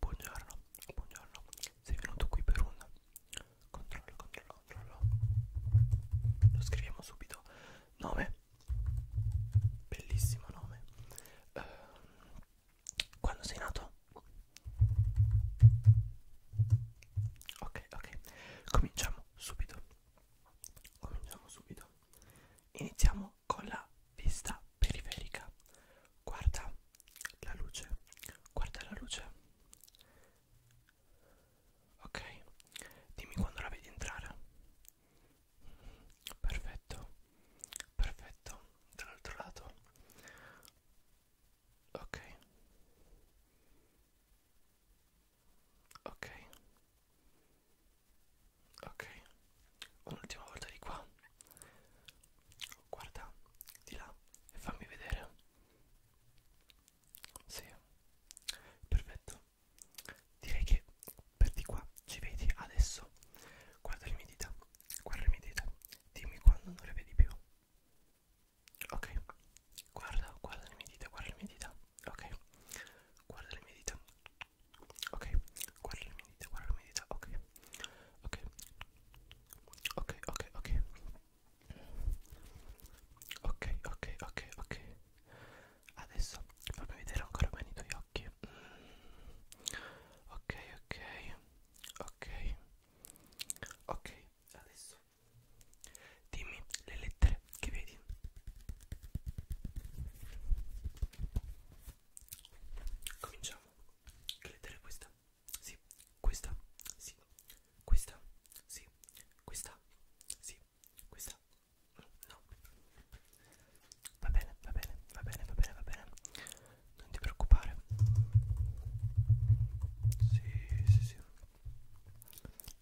Buongiorno, buongiorno. Sei venuto qui per un controllo, controllo, controllo. Lo scriviamo subito. Nome. Bellissimo nome. Uh, quando sei nato? Ok, ok. Cominciamo subito. Cominciamo subito. Iniziamo con la vista periferica. Guarda la luce, guarda la luce. Ok, dimmi quando la vedi entrare. Perfetto, perfetto. Dall'altro lato. Ok. Ok ok un'ultima volta di qua guarda di là e fammi vedere sì perfetto direi che per di qua ci vedi adesso guarda le mie dita guarda le mie dita dimmi quando non le vedi più ok guarda guarda le mie dita guarda le mie dita ok guarda le mie dita ok guarda le mie dita guarda le mie dita ok ok ok ok ok ok ok ok ok adesso fammi vedere ancora bene i tuoi occhi mm. ok ok ok ok adesso dimmi le lettere te che vedi cominciamo che lettera è questa sì questa sì questa sì questa sì questa no va bene va bene va bene va bene va bene non ti preoccupare sì sì sì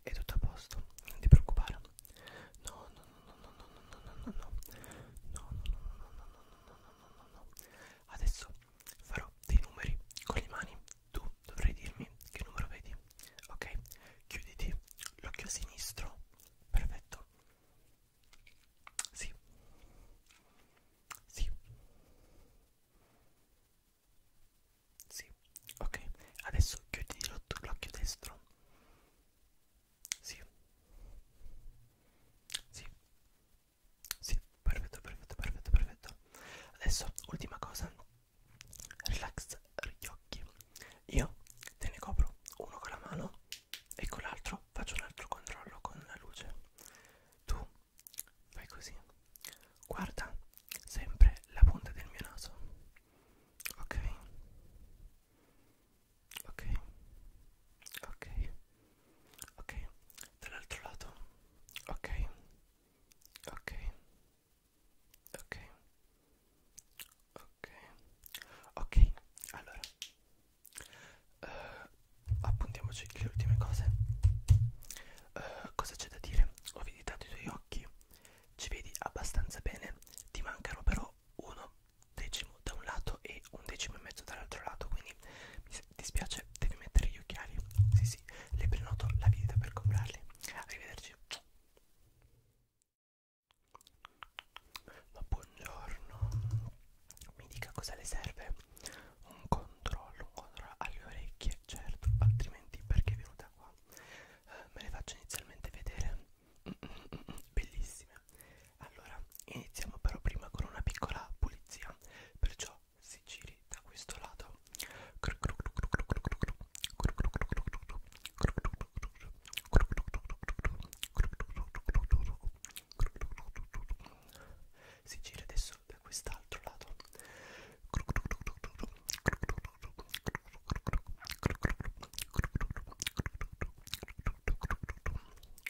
è tutto a posto non ti preoccupare no no no no no no no no no no no no no no no no no no no adesso farò dei numeri con le mani tu dovrai dirmi che numero vedi ok chiuditi l'occhio sinistro perfetto sì sì sì ok adesso chiudi l'occhio destro sì. Sì. Sì, perfetto, perfetto, perfetto, perfetto. Adesso, ultima cosa. Relax gli occhi. Io te ne copro uno con la mano e con l'altro faccio un altro controllo con la luce. Tu fai così. Guarda sempre la punta del mio naso ok ok ok ok dall'altro lato ok ok ok ok ok allora uh, appuntiamoci le ultime cose uh, cosa c'è da dire ho visitato i tuoi occhi ci vedi abbastanza bene ti mancano però uno decimo da un lato e un decimo e mezzo dall'altro lato quindi mi dispiace devi mettere gli occhiali sì sì le prenoto la visita per comprarli arrivederci ma buongiorno mi dica cosa le serve un controllo un controllo alle orecchie certo altrimenti perché è venuta qua qua eh, me le faccio inizialmente vedere mm, mm, mm, bellissime allora iniziamo però prima con una piccola pulizia perciò si giri da questo lato si gira adesso da quest'altro lato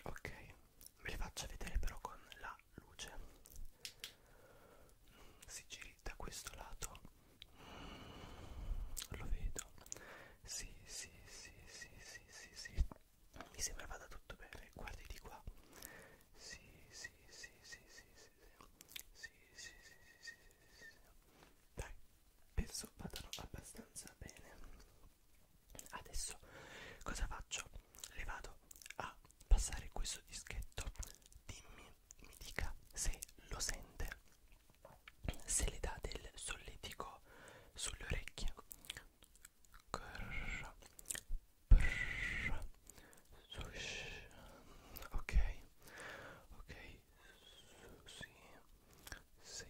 Ok, ve li faccio vedere però con la luce. Si giri da questo lato. Lo vedo. Sì, sì, sì, sì, sì, sì, sì. Mi sembra vada tutto bene. Guardi di qua. Sì, sì, sì, sì, sì, sì sì, sì, sì, sì, sì, sì, sì. Dai, penso vadano abbastanza bene. Adesso cosa faccio? Le vado a passare questo dischetto. Dimmi, mi dica se lo sente, se le dà del solletico sulle orecchie. Grrr, brrr, sush. Ok, ok, sì, sì,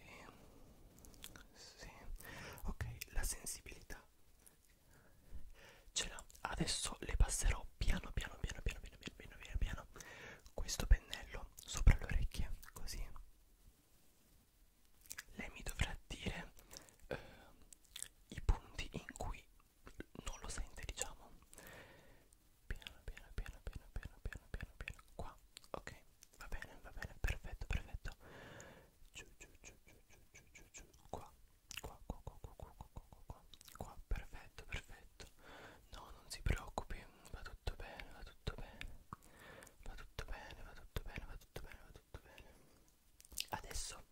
sì. Ok, la sensibilità ce l'ho. Adesso le passerò piano piano piano piano piano piano piano piano questo pennello sopra le orecchie, così. Lei mi dovrà dire eh, i punti in cui non lo sente diciamo piano piano piano piano piano piano piano piano qua ok va bene va bene perfetto perfetto giù giù giù giù giù giù giù giù qua qua qua qua qua qua qua qua qua qua perfetto perfetto no non si preoccupi va tutto bene va tutto bene va tutto bene va tutto bene va tutto bene va tutto bene adesso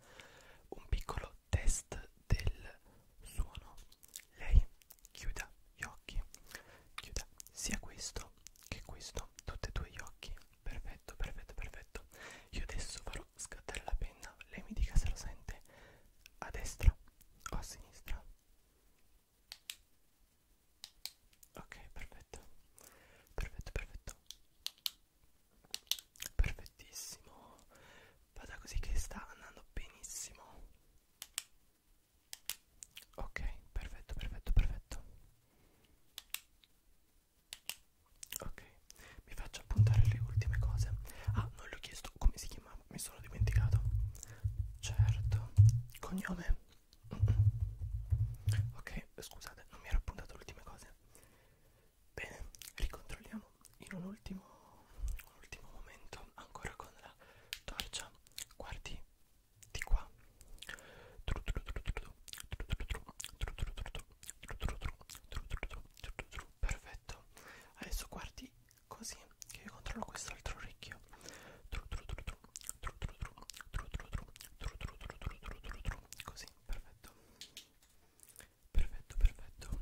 un piccolo test del suono lei chiuda gli occhi chiuda sia questo che questo tutti e due gli occhi perfetto perfetto perfetto io adesso farò scattare la penna lei mi dica se lo sente a destra o a sinistra ok perfetto perfetto perfetto perfettissimo vada così che sta andando benissimo ok perfetto perfetto perfetto ok mi faccio appuntare le ultime cose ah non l'ho chiesto come si chiamava mi sono dimenticato certo cognome ok scusate non mi ero appuntato le ultime cose Bene, ricontrolliamo in un ultimo, un ultimo momento ancora con la torcia. Guardi di qua. Perfetto. Adesso guardi così che io controllo quest'altro orecchio. Così, perfetto perfetto perfetto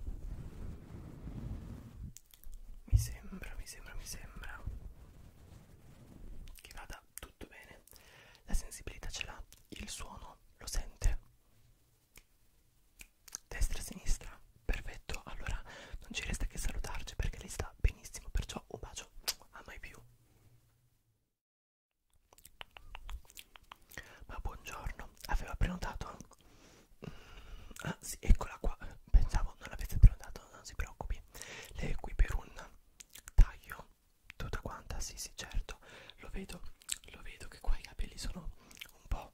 mi sembra mi sembra mi sembra che vada tutto bene la sensibilità ce l'ha il suono lo sente destra sinistra perfetto allora non ci resta che salutarci perché lei sta benissimo perciò un bacio a mai più ma buongiorno, aveva prenotato? Mm, ah sì, eccola qua, pensavo non l'avesse prenotato, non si preoccupi. Lei è qui per un taglio, tutta quanta, sì sì certo, lo vedo, lo vedo che qua i capelli sono un po',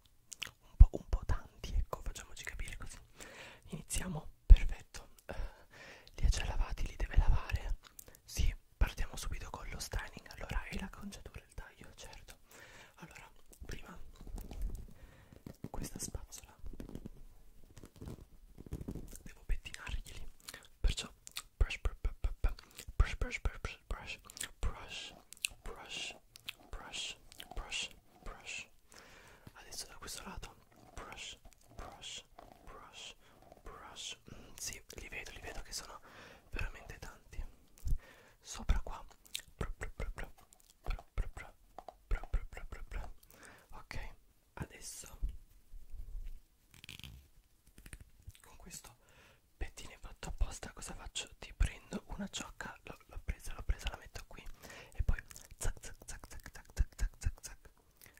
un po', un po' tanti, ecco, facciamoci capire così. Iniziamo, perfetto, uh, li ha già lavati, li deve lavare? Sì, partiamo subito con lo styling, allora è la conciatura pure il taglio, certo. Allora, prima questa spazzola devo pettinarglieli. Perciò brush brush brush brush brush brush brush brush brush brush brush. Adesso da questo lato brush brush brush brush. Mm, sì, li vedo, li vedo che sono veramente tanti sopra qua ok adesso con questo pettine fatto apposta cosa faccio ti prendo una ciocca l'ho presa l'ho presa la metto qui e poi zac zac zac zac zac zac zac zac zac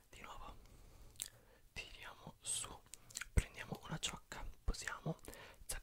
di nuovo tiriamo su prendiamo una ciocca posiamo zac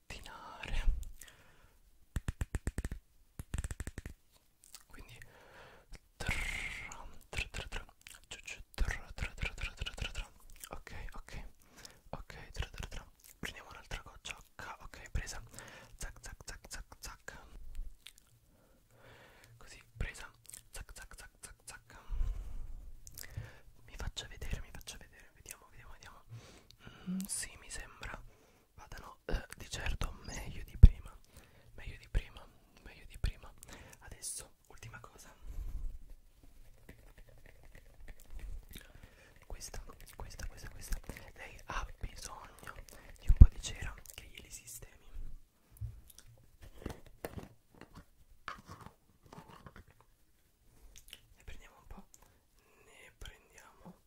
pettinare quindi ok ok ok prendiamo un'altra gocciocca ok presa zac zac zac zac zac così presa zac zac zac zac zac mi faccia vedere mi faccia vedere vediamo vediamo vediamo mm, sì mi sembra vadano eh, di certo meglio di prima meglio di prima meglio di prima adesso ultima cosa questa questa questa questa lei ha bisogno di un po' di cera che glieli sistemi ne prendiamo un po' ne prendiamo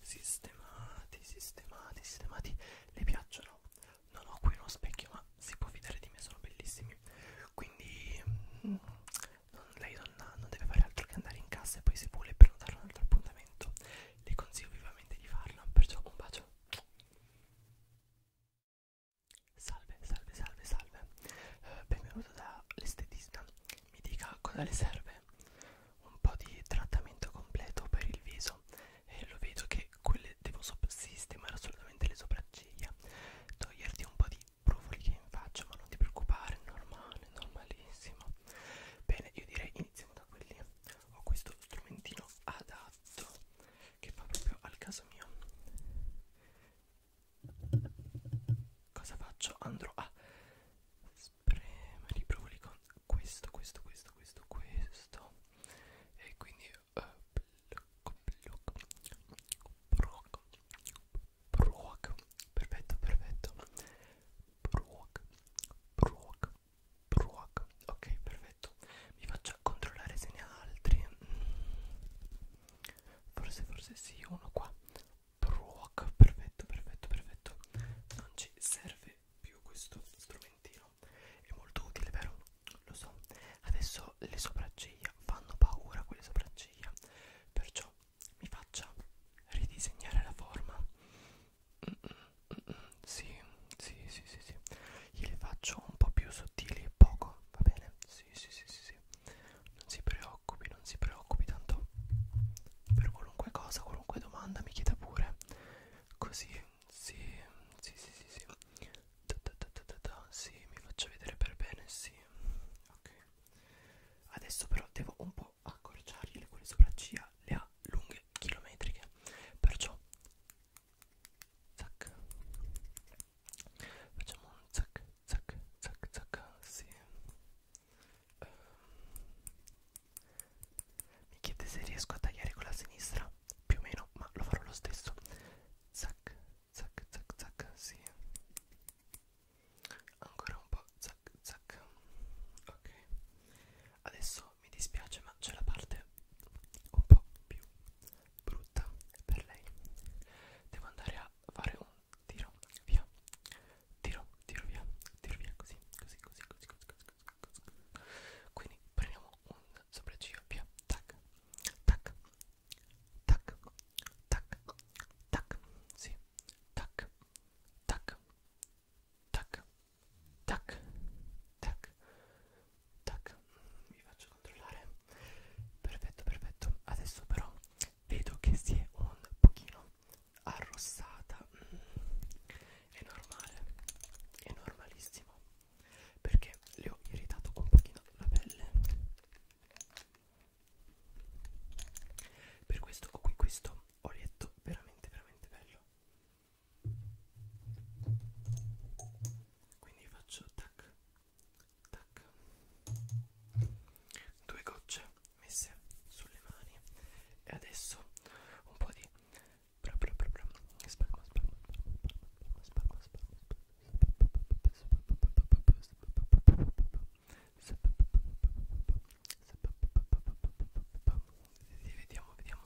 sistemati, sistemati, sistemati. Le piacciono? Non ho qui uno specchio, ma si può fidare di me, sono bellissimi. Quindi mm, non, lei non, non deve fare altro che andare in casa e poi se vuole prenotare un altro appuntamento. Le consiglio vivamente di farlo, perciò un bacio. Salve, salve, salve, salve. Eh, benvenuto da l'estetista. Mi dica cosa le serve un po' di trattamento completo per il viso e lo vedo che quelle devo sistemare assolutamente le sopracciglia toglierti un po' di brufoli che in faccia ma non ti preoccupare è normale normalissimo bene io direi iniziamo da quelli ho questo strumentino adatto che fa proprio al caso mio cosa faccio andrò a spremere i brivoli con questo, questo, questo, questo, questo e quindi eh, blocco, blocco, blocco, blocco, perfetto, perfetto, blocco, blocco, blocco, ok, perfetto, vi faccio controllare se ne ha altri, mm. forse, forse sì, uno qua. Proc, perfetto, perfetto, perfetto. Non ci serve più questo strumentino. È molto utile, vero? Lo so. Adesso le sopracciglia fanno paura quelle sopracciglia. Perciò mi faccia ridisegnare la forma. Mm -mm, mm -mm, sì, sì, sì, sì, sì. Gliele faccio un po' più sottili e poco, va bene? Sì, sì, sì, sì, sì non si preoccupi, non si preoccupi tanto per qualunque cosa, qualunque domanda mi chieda pure. Così, sì, sì, sì, sì, sì. Da, da, da, da, da. Sì, mi faccio vedere per bene, sì. Ok. Adesso però devo un po' accorciargli le quelle sopracciglia, le ha lunghe chilometriche. Perciò zac. Facciamo un zac, zac, zac, zac, sì uh, mi chiede se riesco a tagliare con la sinistra più o meno ma lo farò lo stesso zac zac zac zac sì ancora un po zac zac ok adesso mi dispiace ma c'è la parte un po' più brutta per lei devo andare a fare un tiro via tiro tiro via tiro via così così così così così così così, così. quindi prendiamo un sopracciglio via tac tac tac tac tac sì tac tac tac tac tac tac vi faccio controllare perfetto perfetto adesso però vedo che si è un pochino arrossata mm. è normale è normalissimo perché le ho irritato un pochino la pelle per questo ho qui questo olietto veramente veramente bello quindi faccio tac tac due gocce messe sulle mani e adesso un po' di proprio proprio spalma spalma spalma spalma spalma vediamo vediamo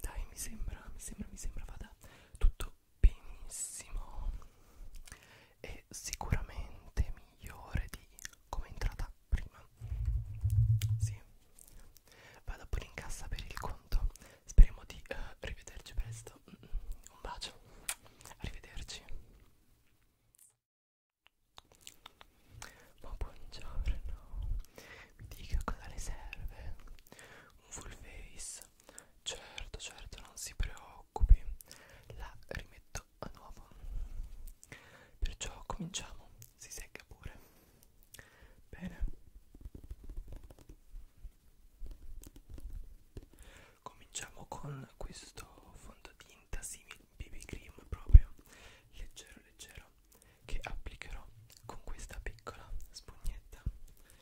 dai mi sembra mi sembra mi sembra vada tutto benissimo e sicuramente migliore di come è entrata prima sì vado pure in cassa per il conto speriamo di uh, rivederci presto un bacio arrivederci ma buongiorno mi dica cosa le serve un full face Certo, certo, non si preoccupi, la rimetto a nuovo. Perciò cominciamo, si secca pure. Bene. Cominciamo con questo fondotinta simile BB cream proprio leggero leggero che applicherò con questa piccola spugnetta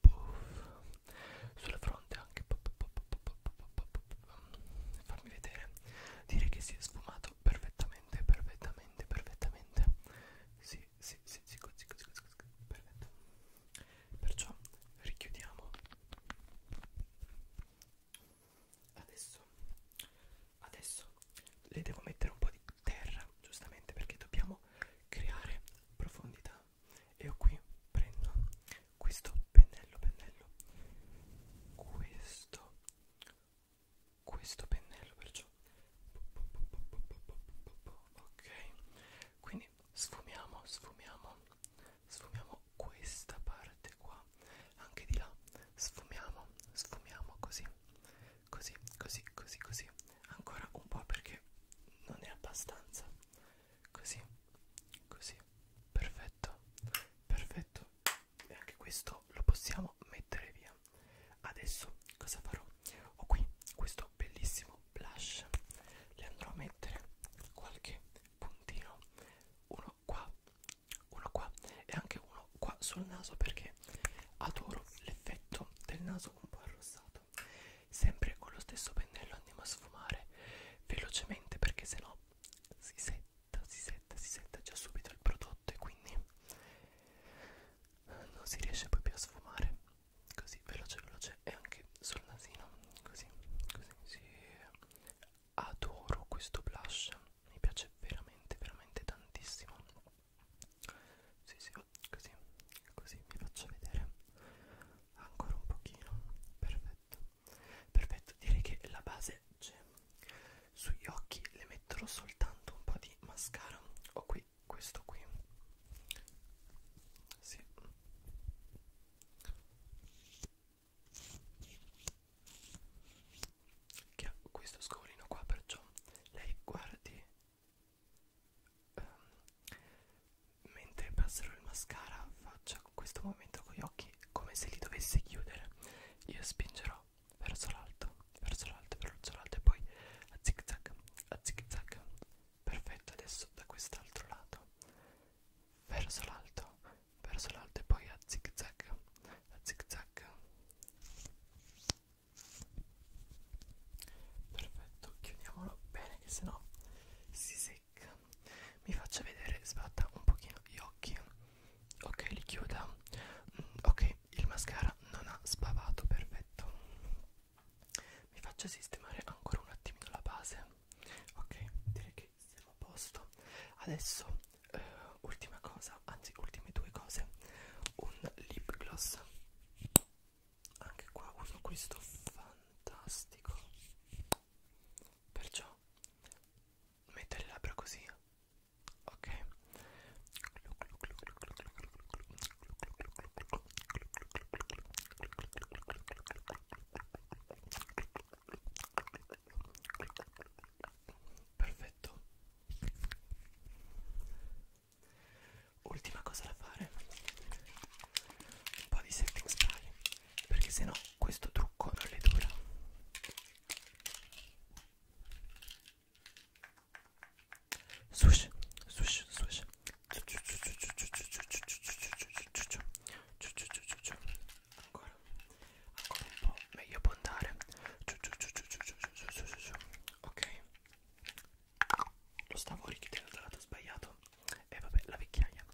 puff. sulla fronte anche puff, puff, puff, puff, puff, puff, puff. farmi vedere dire che si è sfumato perfettamente perfettamente perfettamente sì sì sì sì così così così, così. perfetto perciò richiudiamo adesso adesso le devo mettere un po' di terra giustamente perché dobbiamo creare profondità io qui prendo questo pennello pennello questo questo pennello perciò ok quindi sfumiamo sfumiamo sfumiamo questa parte qua anche di là sfumiamo sfumiamo così così così così così ancora un po' perché non è abbastanza Così, così, perfetto, perfetto. E anche questo lo possiamo mettere via. Adesso cosa farò? Ho qui questo bellissimo blush. Le andrò a mettere qualche puntino, uno qua, uno qua e anche uno qua sul naso perché adoro l'effetto del naso un po' arrossato fatto sempre con lo stesso pennello andiamo a sfumare velocemente perché sennò si setta si setta si setta già subito il prodotto e quindi non si riesce poi più a sfumare così veloce veloce e anche sul nasino così così sì. adoro questo blush mi piace veramente veramente tantissimo sì sì video così così vi faccio vedere ancora un pochino perfetto perfetto direi che la base c'è sugli occhi le metterò soltanto un po' di mascara ho qui questo qui sì che ha questo scolino qua perciò lei guardi um, mentre passerò il mascara faccia questo momento con gli occhi come se li dovesse chiudere io spingerò verso l'alto verso l'alto verso l'alto e poi a zig zag a zig zag perfetto adesso da quest'altro lato verso l'alto verso l'alto e poi a zig zag a zig zag perfetto chiudiamolo bene che sennò si secca mi faccia vedere sbatta un pochino gli occhi ok li chiuda mm, ok il mascara non ha sbavato perfetto mi faccio sistemare ancora un attimino la base ok direi che siamo a posto adesso eh, ultima cosa anzi ultime due cose un lip gloss anche qua uso questo fantastico perciò mettere le labbra così ok perfetto Ultima cosa da fare, un po' di setting spray, perché sennò questo trucco non le dura. Swish, swish, swish. Ancora, ancora un po', meglio puntare. Ok, lo stavo richiudendo dal lato sbagliato e vabbè la vecchiaia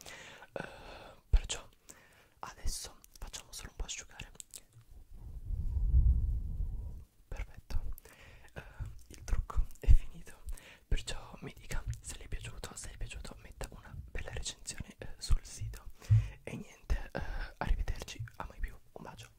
uh, perciò adesso facciamo solo un po' asciugare perfetto uh, il trucco è finito perciò mi dica se le è piaciuto se è piaciuto metta una bella recensione uh, sul sito e niente uh, arrivederci a mai più un bacio